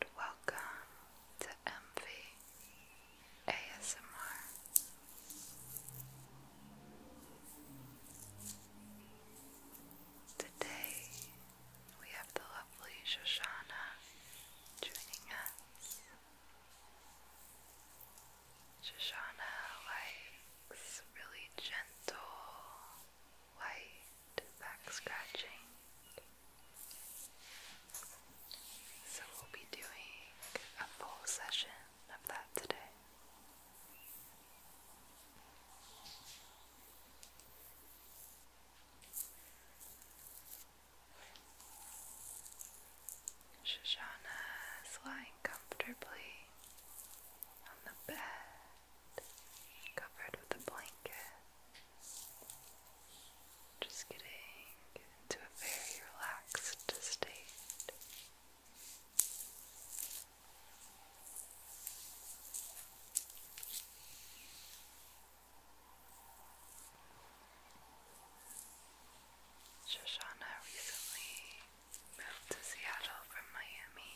and welcome to MV ASMR. Today we have the lovely Shoshana joining us. Shoshana likes really gentle, light back scratching. So we'll be doing a full session of that today. Shoshana is lying comfortably on the bed covered with a blanket, just getting into a very relaxed state. Shoshana recently moved to Seattle from Miami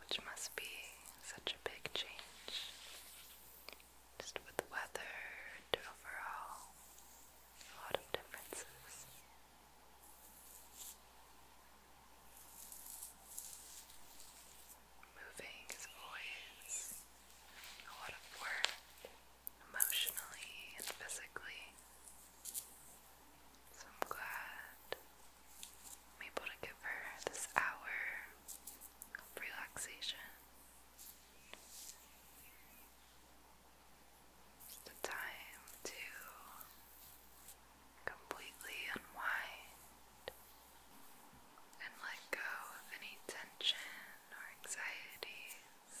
which must be such a big change just with the weather overall a lot of differences. Moving is always a lot of work emotionally and physically. So I'm glad I'm able to give her this hour of relaxation. It's the time to completely unwind and let go of any tension or anxieties.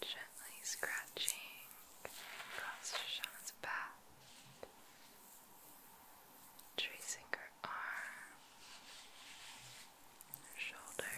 Gently scratching across Shauna's back tracing her arm, her shoulder.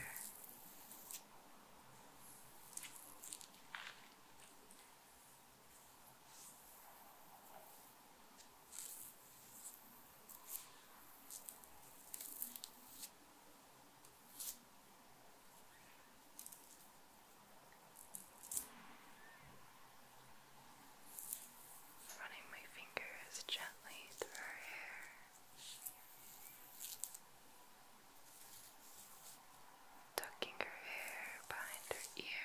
Running my fingers gently through her hair. Tucking her hair behind her ear.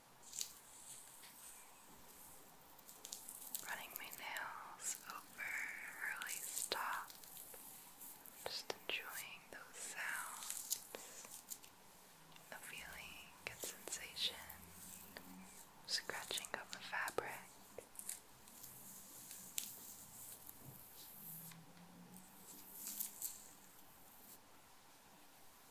Running my nails over early stop. Just enjoying those sounds, the feeling and sensation, scratching of the fabric.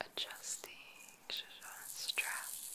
adjusting straps.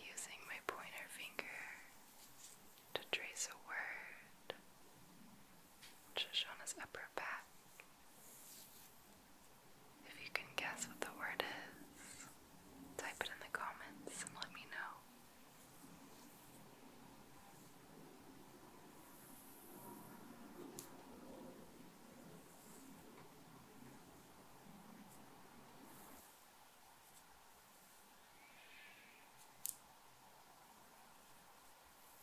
Using my pointer finger to trace a word just on his upper back. If you can guess what the word is, type it in the comments and let me know.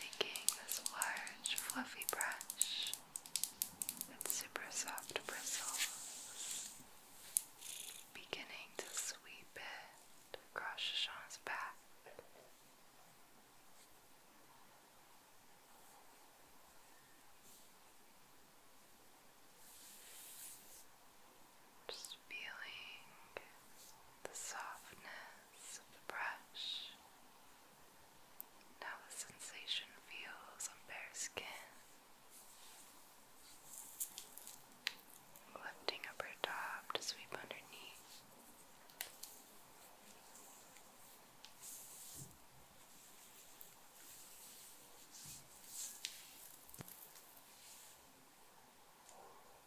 Taking this large fluffy brush with super soft bristles, beginning to sweep it across Shashan's back. Just feeling the softness of the brush. Now the sensation feels on bare skin. Lifting up her top to sweep underneath.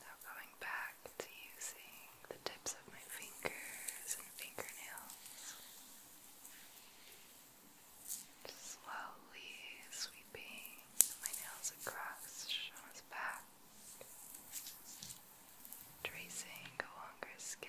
Now going back to using the tips of my fingers and fingernails slowly sweeping my nails across Shauna's back, tracing along her skin.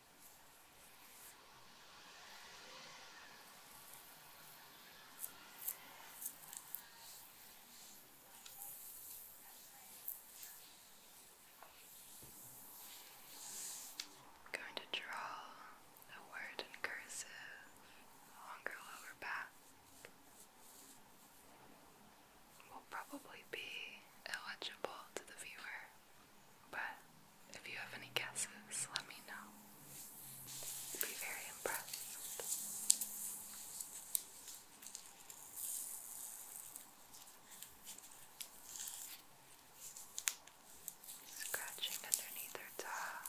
I'm going to draw a word in cursive along lower back. Will probably be illegible to the viewer. But if you have any guesses, let me know. be very impressed. Scratching underneath her top.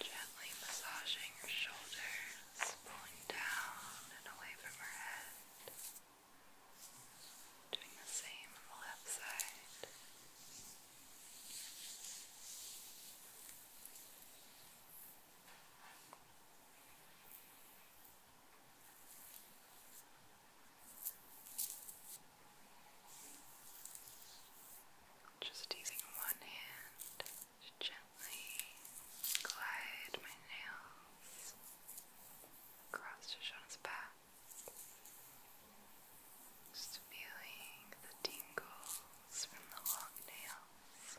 Gently massaging her shoulders, pulling down and away from her head. Doing the same on the left side. Just using one hand to gently glide my nails across Shoshana's back. Just feeling the tingles from the long nails.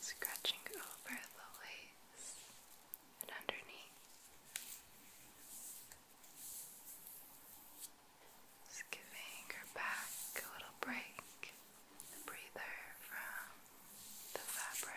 Scratching over the lace and underneath. Just giving her back a little break, a breather from the fabric.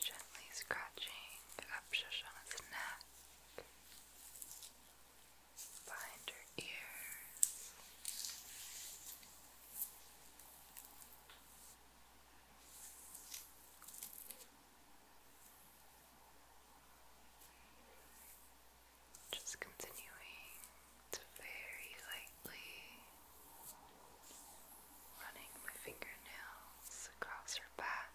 Gently scratching up Shoshana's neck behind her ear. Just continuing to very lightly running my fingernails across her back.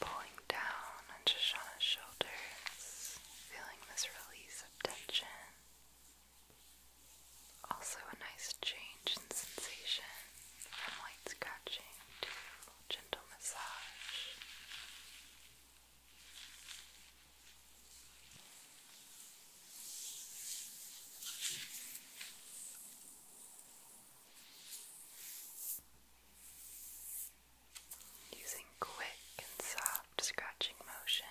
pulling down on Shoshana's shoulders, feeling this release of tension. Also, a nice change in sensation from light scratching to gentle massage using quick and soft scratching motions.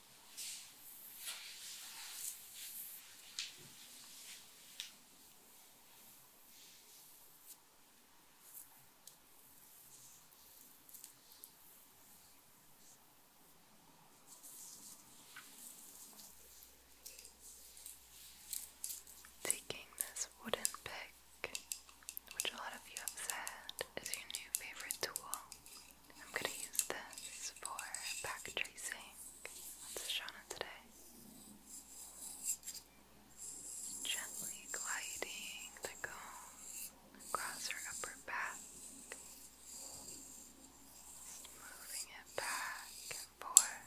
Taking this wooden pick, which a lot of you have said is your new favorite tool, I'm going to use this for back tracing. That's Shauna today. Gently gliding the comb across her upper back. moving it back and forth.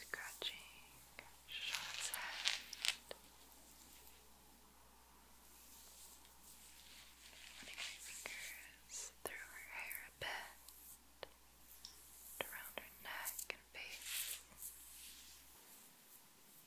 Scratching Charlotte's head. Running my fingers through her hair a bit, around her neck and face.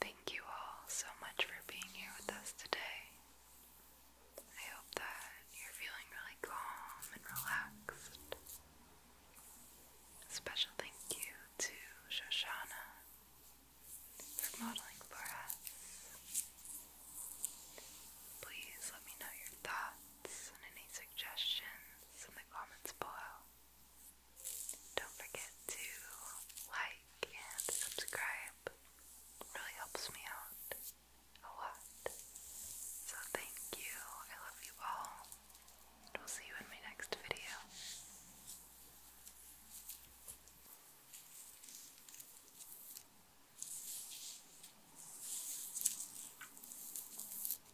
Thank you all so much for being here with us today. I hope that you're feeling really calm and relaxed. special thank you to Shoshana for modeling for us. Please let me know your thoughts any suggestions in comments below. Don't forget to like and subscribe. really helps me out a lot. So thank you. I love you all. And we'll see you in my next video.